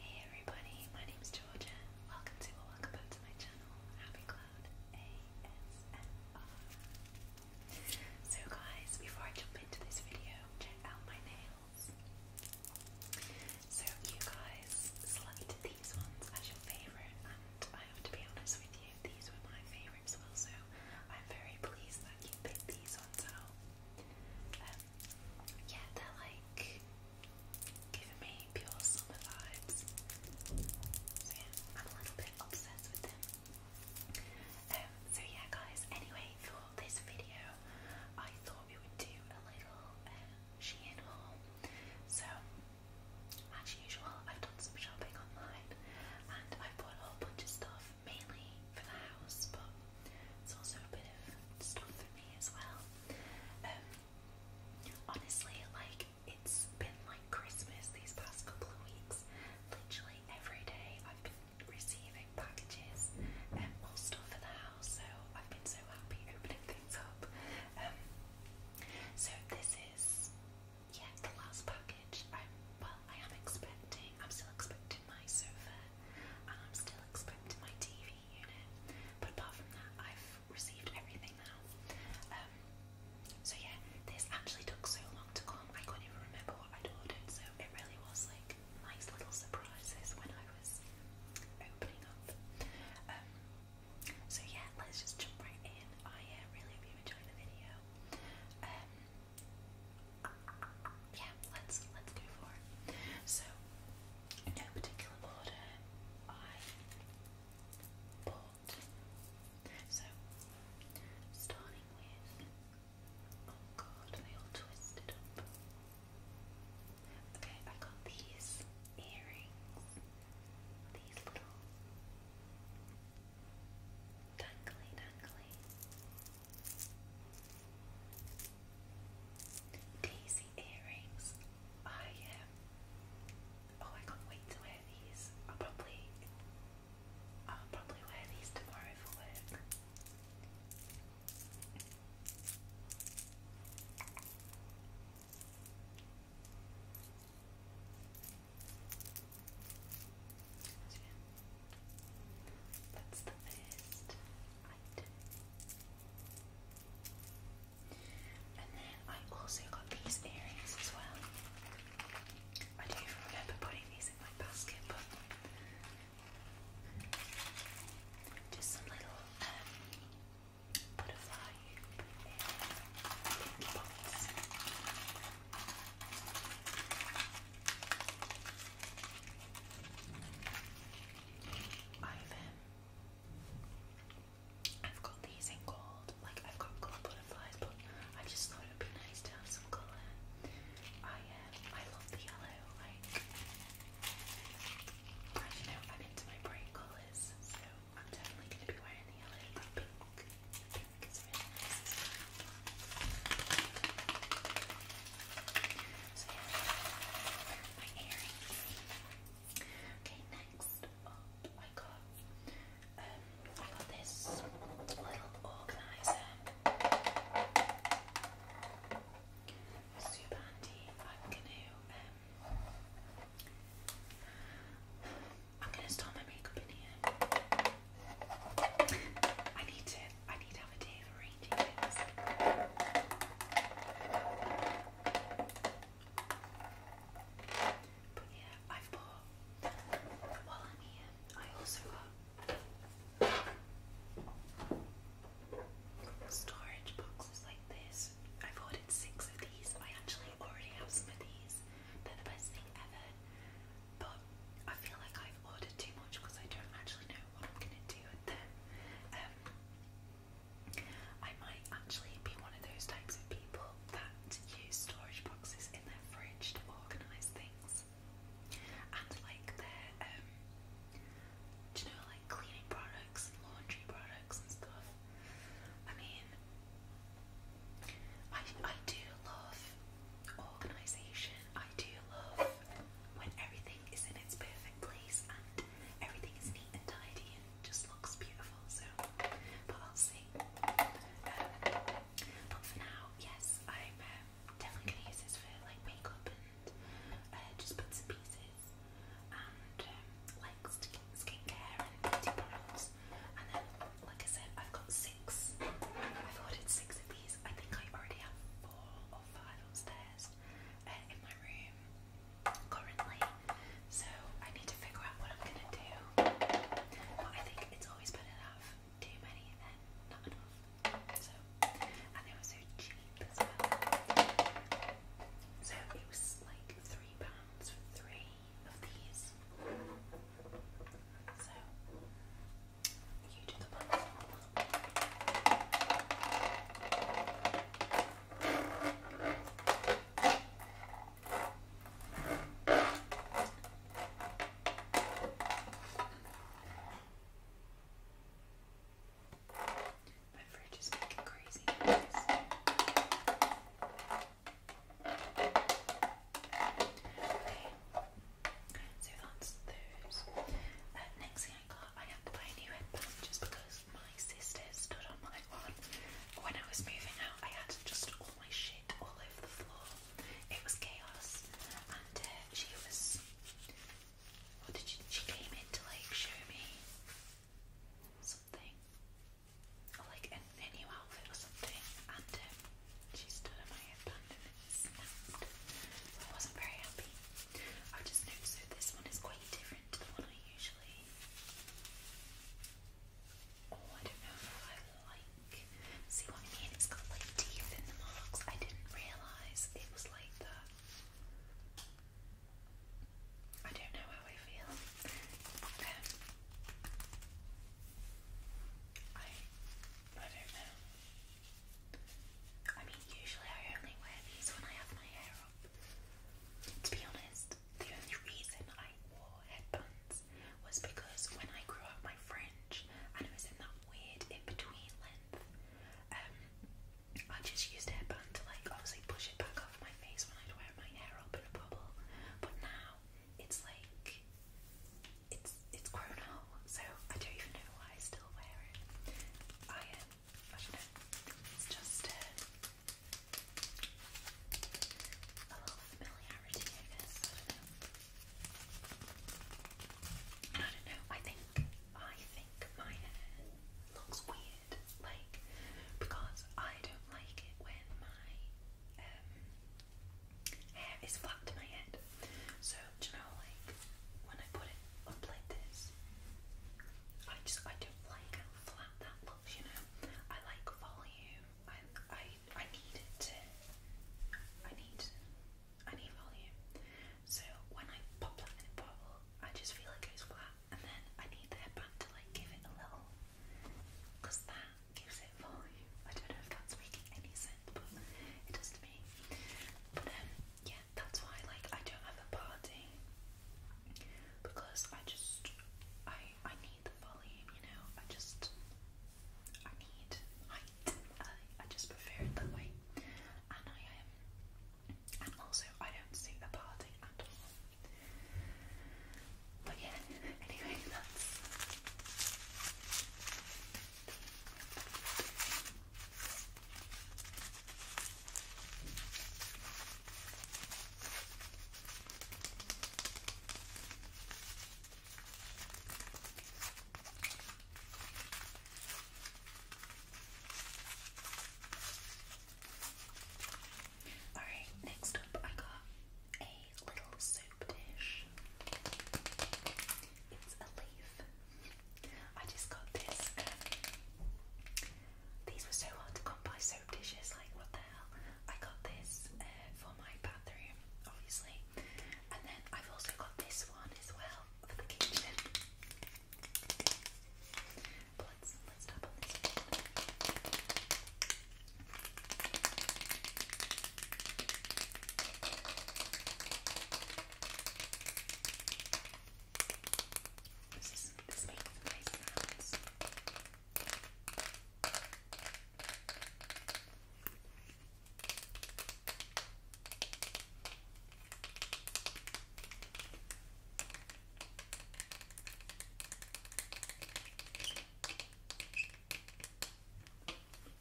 Hey everybody, my name is Georgia. Welcome to or welcome back to my channel, Happy Cloud So guys, before I jump into this video, check out my nails. So you guys selected these ones as your favourite and I have to be honest with you, these were my favourite as so I'm very pleased that you picked these ones out. Um, yeah, they're like giving me pure summer vibes. So yeah, I'm a little bit obsessed with them. Um, so yeah guys, anyway for this video I thought we would do a little um, Shein haul. So as usual I've done some shopping online and I've bought a whole bunch of stuff mainly for the house but it's also a bit of stuff for me as well. Um, honestly, like it's been like Christmas these past couple of weeks. Literally every day I've been receiving packages and um, more stuff for the house, so I've been so happy opening things up. Um, so this is yeah the last package. I'm well, I am expecting. I'm still expecting my sofa, and I'm still expecting my TV but apart from that, I've received everything now. Um, so yeah, this actually took so long to come. I couldn't even remember what I'd ordered, so it really was like nice little surprises when I was opening up. Um, so yeah, let's just jump right in. I uh, really hope you enjoyed the video. Um, yeah, let's let's go for it. So, no particular order, I bought. So, starting with. Oh god, they all twisted up. Okay, I got these earrings. These little dangly dangly Daisy earrings. I um oh I can't wait to wear these. I'll probably I'll probably wear these tomorrow for work. That's the first right. And then I also got these earrings as well. I don't even remember putting these in my basket, but just some little um, butterfly pink Ivan. I've got these in gold, like I've got gold butterflies, but I just thought it would be nice to have some colour. I um, I love the yellow, like you know, I'm into my bright colours, so I'm definitely going to be wearing the yellow, but pink, pink Okay, next I got um I got this little organizer. Super handy. I'm gonna um I'm gonna start my makeup in here. I need to I need to have a day of arranging But yeah, I've bought, while I'm here, I also got storage boxes like this. I've ordered six of these. I actually already have some of these. They're the best thing ever. But I feel like I've ordered too much because I don't actually know what I'm gonna do with them. Um, I might actually be one of those types of people that use storage boxes in their fridge to organise things. And like their, um, you know, like cleaning products laundry products and stuff. I mean, I, I do love organisation I do love when everything is in its perfect place and everything is neat and tidy and just looks beautiful. So, but I'll see. Um, but for now, yes, I'm um, definitely gonna use this for like makeup and uh, just bits and pieces and um, like skincare and beauty products. And then, like I said, I've got six. I've ordered six of these. I think I already have four or five upstairs uh, in my room currently, so I need to figure out what I'm gonna do. But I think it's always better to too many than not enough. So, and they were so cheap as well. So it was like three pounds for three of these. So you do the button. My fridge is making crazy noise. Okay. So that's those. Uh, next thing I got, I had to buy a new headband just because my sister stood on my one. When I was moving out, I had just all my shit all over the floor. It was chaos. And uh, she was. What did she? She came in to like show me something. Or like a, a new outfit or something. And um, she stood on my headband. I wasn't very happy. I just noticed that this one is quite different to the one I usually. Oh, I don't know if I like. See what I mean? It's got like teeth in the marks. I didn't realise it was like that. I don't know how I feel. Um, I I don't know. I mean, usually I only wear these when I have my hair up. To be honest, the only reason I wore headbands was because when I grew out my fringe and it was in that weird in between length, um, I just used a headband to like obviously push it back off my face when I'd wear my hair up in a bubble. But now it's like it's it's grown out, so I don't even know why I still wear it. I don't know. It's just uh, a little familiarity, I guess. I don't know. I don't know. I think I think my hair looks weird, like because I don't like it when my um, hair is flat to my head. So you know, like when I put it up like this, I just I don't like how flat that looks. You know, I like volume. I I I need it to. I need I need volume. So when I pop that in the bottle, I just feel it goes flat, and then I need the headband to like give it a little, that gives it volume. I don't know if that's making any sense, but it does to me. But yeah, that's why like I don't have a party because I just I I need the volume, you know. I just I need height. I I just prefer it that way, and I um, and also, I don't suit a party at all. But yeah, anyway, that's. Alright, next up I got a little soup dish. It's a leaf I just got this. Um, these were so hard to come by, soap dishes, like what the hell. I got this uh, for my bathroom, obviously. And then I've also got this one as well for the kitchen. But let's, let's tap on this one. This, is, this makes nice sounds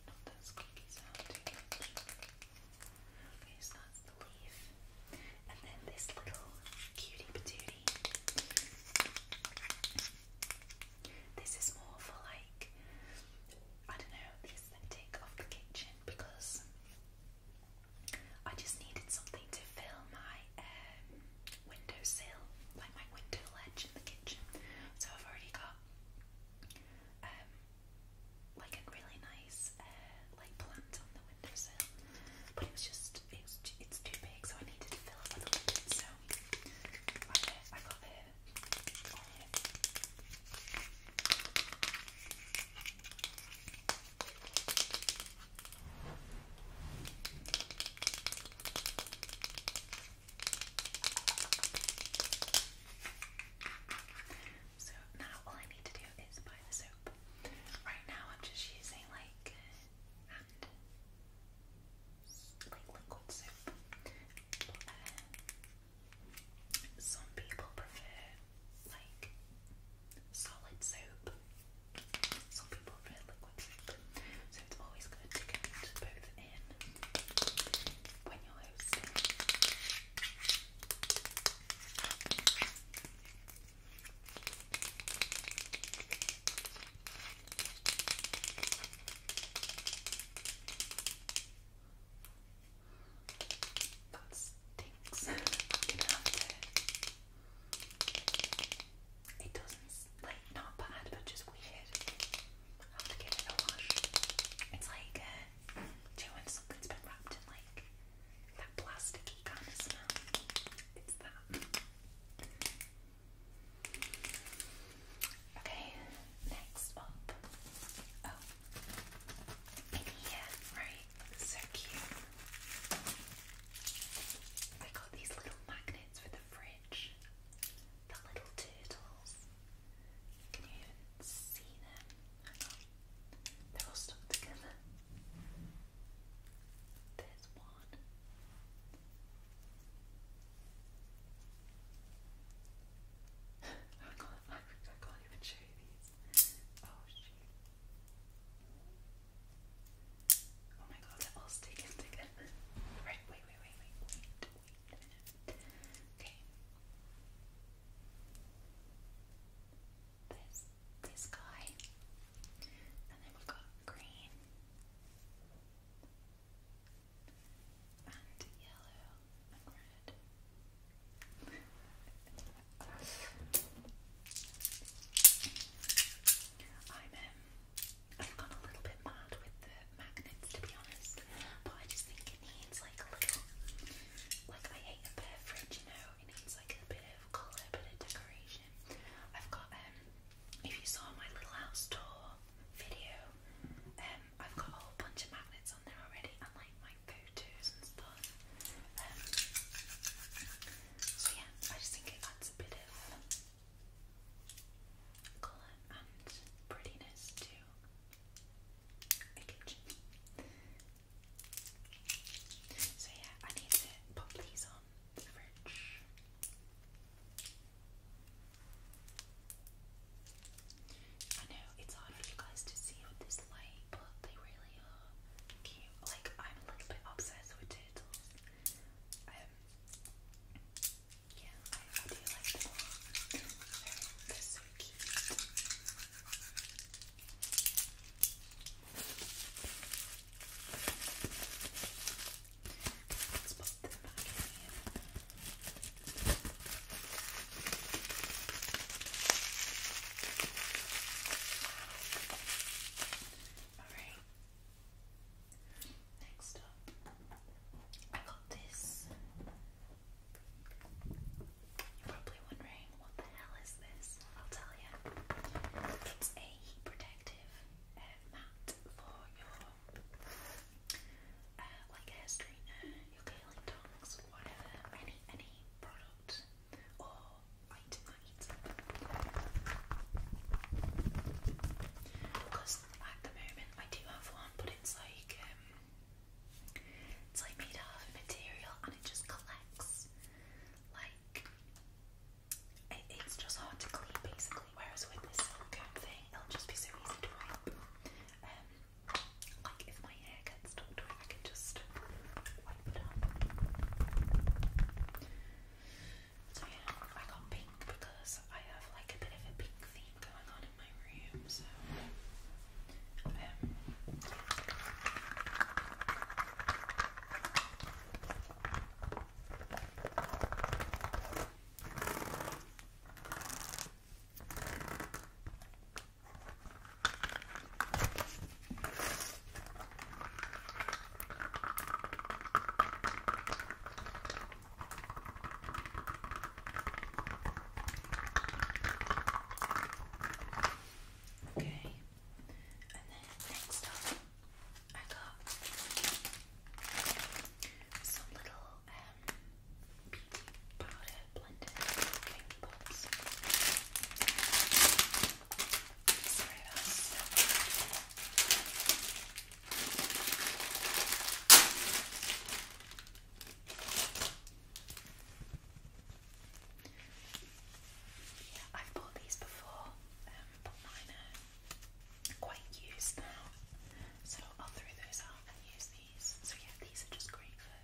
not those clicky sound too that's the leaf. And then this little cutie patootie. This is more for like, I don't know, the aesthetic of the kitchen because I just needed something to fill my um, windowsill, like my window ledge in the kitchen. So I've already got um, like a really nice uh, like plant on the windowsill, but it was just it it's too big, so I needed to fill it with a lid. So uh, I, got it so now all I need to do is buy the soap. Right now I'm just using like liquid soap. Um, some people prefer like solid soap. Some people prefer liquid soap. So it's always good to get both of in when you're hosting. That stinks. It doesn't like not bad, but just weird. It's like, uh, do you has been wrapped in like that plasticky kind of smell? It's that. Okay, next up. Oh, in here, right? So cute. I got these little magnets for the fridge. The little turtles. Can you see them? They're all stuck together. There's one. I can't, I, can't even show you these. Oh shoot. Oh my god, they're all sticking together. wait, wait, wait, wait, wait. Wait a Okay. There's this guy. And then we've got green. And yellow and red. I'm um, I've a little bit mad with the magnets to be honest, but I just think it needs like a little, like I hate a bare fridge, you know, it needs like a bit of colour, a bit of decoration. I've got, um, if you saw my little house tour video, um, I've got a whole bunch of magnets on there already and like my photos and stuff. Um, so yeah, I just think it adds a bit of colour and prettiness to so yeah, I need to pop these on the fridge. I know it's hard for you guys to see with this light, but they really are cute. Like I'm a little bit obsessed with turtles. Um, yeah, I do like them They're, so cute. Let's pop them back in here. Alright. Next up, I got this. You're probably wondering what the hell is this? I'll tell you. It's a heat protective um, mat for your uh, like hair straightener, your curling tongs, whatever, any any product or item that heats because at the moment I do have one, but it's like um, it's like made out of material and it just collects. Like it, it's just hard to clean basically. Whereas with this silicone thing, it'll just be so easy to wipe. Um, like if my hair gets stuck to it, I can just wipe it up. So yeah, I got pink because I have like a bit of a pink theme going on in my room, so um, Okay, and then next up, I got some little um, beauty powder blended cake pops. Sorry about yeah, I've bought these before, um, but mine are quite used now, so I'll throw those out and use these. So yeah, these are just great for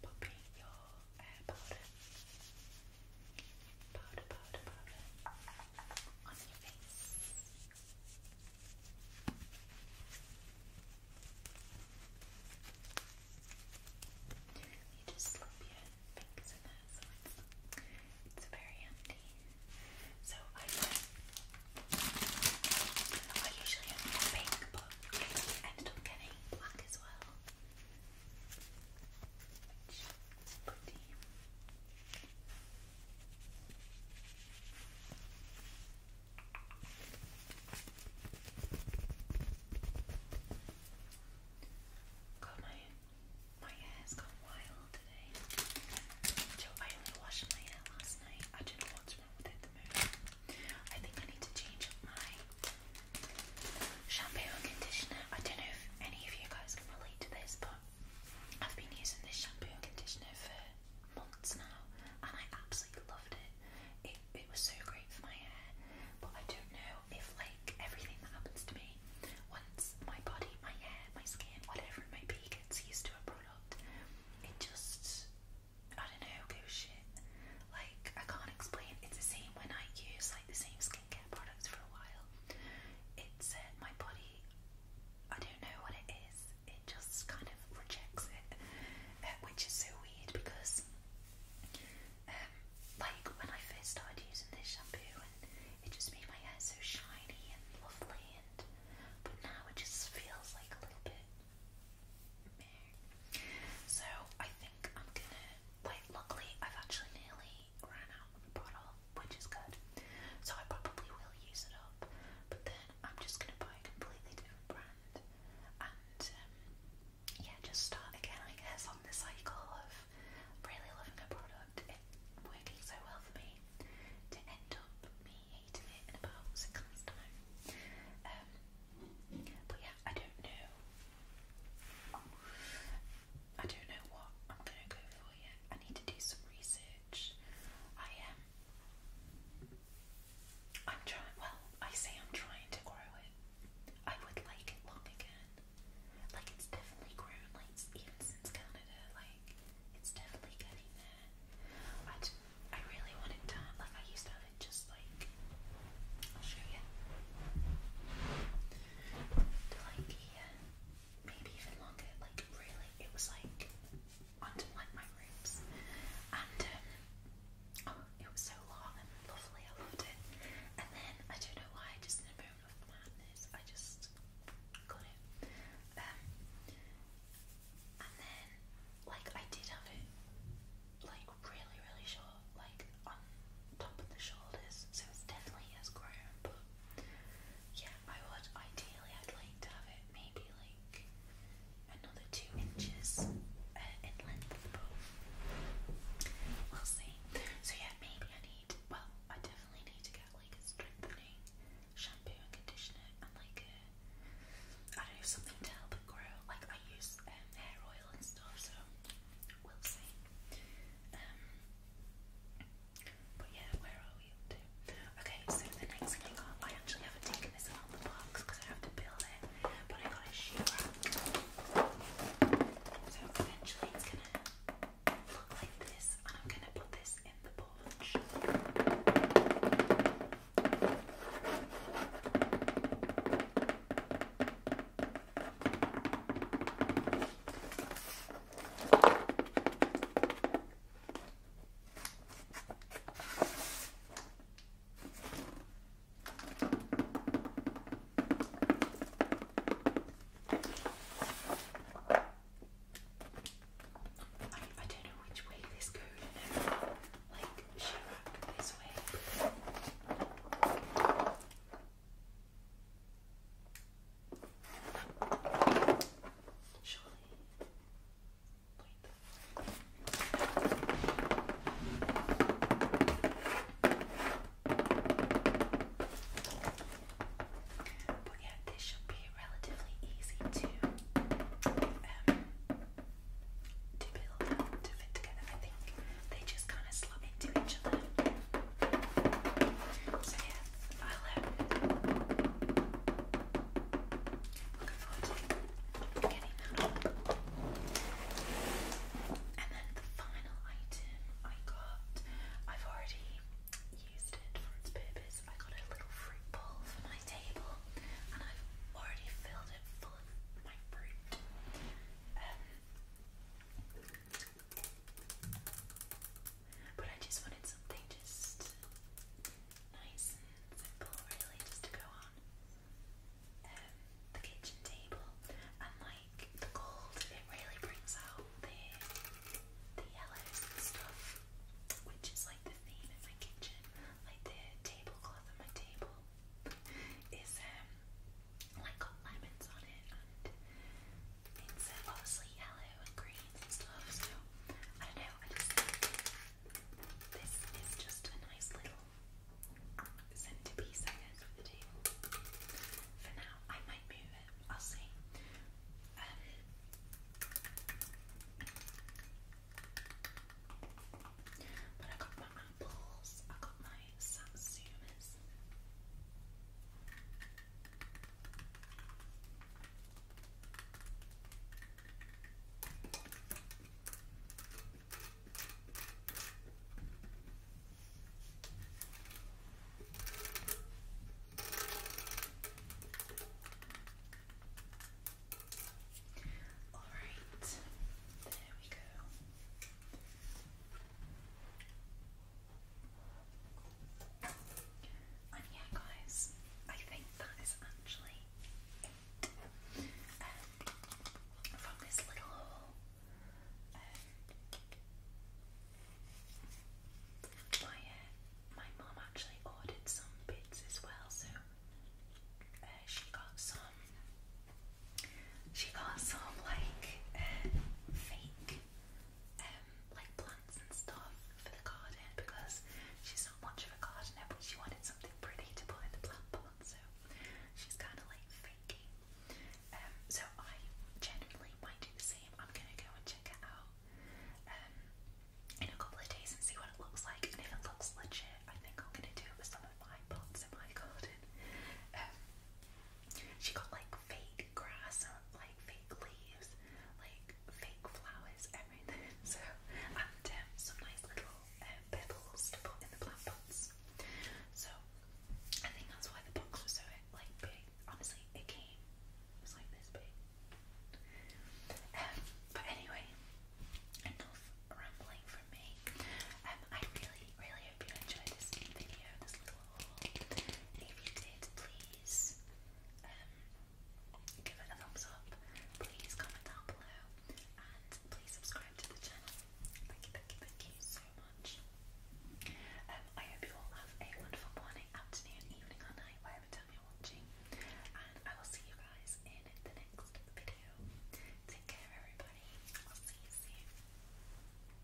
popping your uh, powder. Powder, powder, powder on You just slip your fingers in there, it's, very handy. So I usually have pink, but ended up getting black as well. Which is pretty. God, my my hair's gone wild today. I only washed my hair last night. I don't know what's wrong with it I think I need to change my shampoo and conditioner. I don't know if any of you guys can relate to this, but I've been using this shampoo and conditioner for months now and I absolutely loved it. It it was so great for my hair, but I don't know if like everything that happens to me once my body, my hair, my skin, whatever it might be gets used to a product, it just I don't know, goes shit. Like I can't explain. It's the same when I use like the same skincare products for a while. It's uh, my body I don't know what it is. It just kind of rejects it, uh, which is so weird because, um, like when I first started using this shampoo, and it just made my hair so shiny and lovely, and but now it just feels like a little bit. So I think I'm gonna. Like, luckily I've actually nearly ran out of the bottle, which is good. So I probably will use it up, but then I'm just going to buy a completely different brand and um, yeah, just start again, I guess, on the cycle of really loving a product. It working so well for me to end up me hating it in about six months' time. Um, but yeah, I don't know. I don't know what I'm gonna go for yet. I need to do some research. I am. Um, I'm trying. Well, I say I'm trying to grow it. I would like it long again. Like it's definitely grown. Like even since Canada, like it's definitely getting there. I I really want it done. Like I used to have it just like. I'll show you. To like here maybe even longer. Like really, it was like onto like my ribs, and um, oh, it was so long lovely. I loved it. And then I don't know why, just in a moment of madness, I just got it. Um, and then like I did have it like really, really short, like on top of the shoulders, so it's definitely has grown, but yeah, I would. Ideally, I'd like to have it maybe like another two inches uh, in length, we'll see. So yeah, maybe I need. Well, I definitely need to get like a strengthening shampoo and conditioner and like a I don't know something to help it grow. Like I use um, hair oil and stuff, so we'll see. Um, but yeah, Okay, so the next thing I actually haven't taken this out of the box because I have to build it, but I got a shoe rack. So eventually it's gonna look like this, and I'm gonna put this in the porch. I, I don't know which way this goes, you know, like, should I go this way? Surely. But yeah, this should be relatively easy to um, to build to fit together. I think they just kind of slot into each other. So yeah, And then the final item I got, I've already used it for its purpose. I got a little fruit bowl for my table and I've already filled it full of my fruit. Um, but I just wanted something just nice and simple, really, just to go on um, the kitchen table. And like the gold, it really brings out the the yellows stuff, which is like the theme in my kitchen. Like the tablecloth on my table is um like got lemons on it it's obviously yellow and greens and stuff, so I don't know, I just think this is just a nice little centerpiece I guess for the table. For now, I might move it, I'll see. Um, but I got my apples, I got my satsumas. All right, there we go. And yeah, guys, I think that is actually um, from this little haul. Um, my uh, my mum actually ordered some bits as well, so uh, she got some. She got some like uh, fake um, like plants and stuff for the garden because she's not much of a gardener, but she wanted something pretty to put in the plant pot, so she's kind of like faking. Um, so I genuinely might do the same. I'm gonna go and check it out um, in a couple of days and see what it looks like. And if it looks legit, I think I'm gonna do it with some of my pots in my garden. Um, she got like fake fake grass, like fake leaves, like fake flowers, everything. So, and um, some nice little uh, pebbles to put in the plant pots. So, I think that's why the box was so like big. Honestly, it came was like this big. Um, but anyway, enough rambling from me. Um, I really, really hope you enjoyed this video, this little if you did, please um, give it a thumbs up. Please comment down below. And please subscribe to the channel. Thank you, thank you, thank you so much. Um, I hope you all have a wonderful morning, afternoon, evening, or night, whatever you're watching. And I will see you guys in the next video. Take care, everybody. I'll see you soon.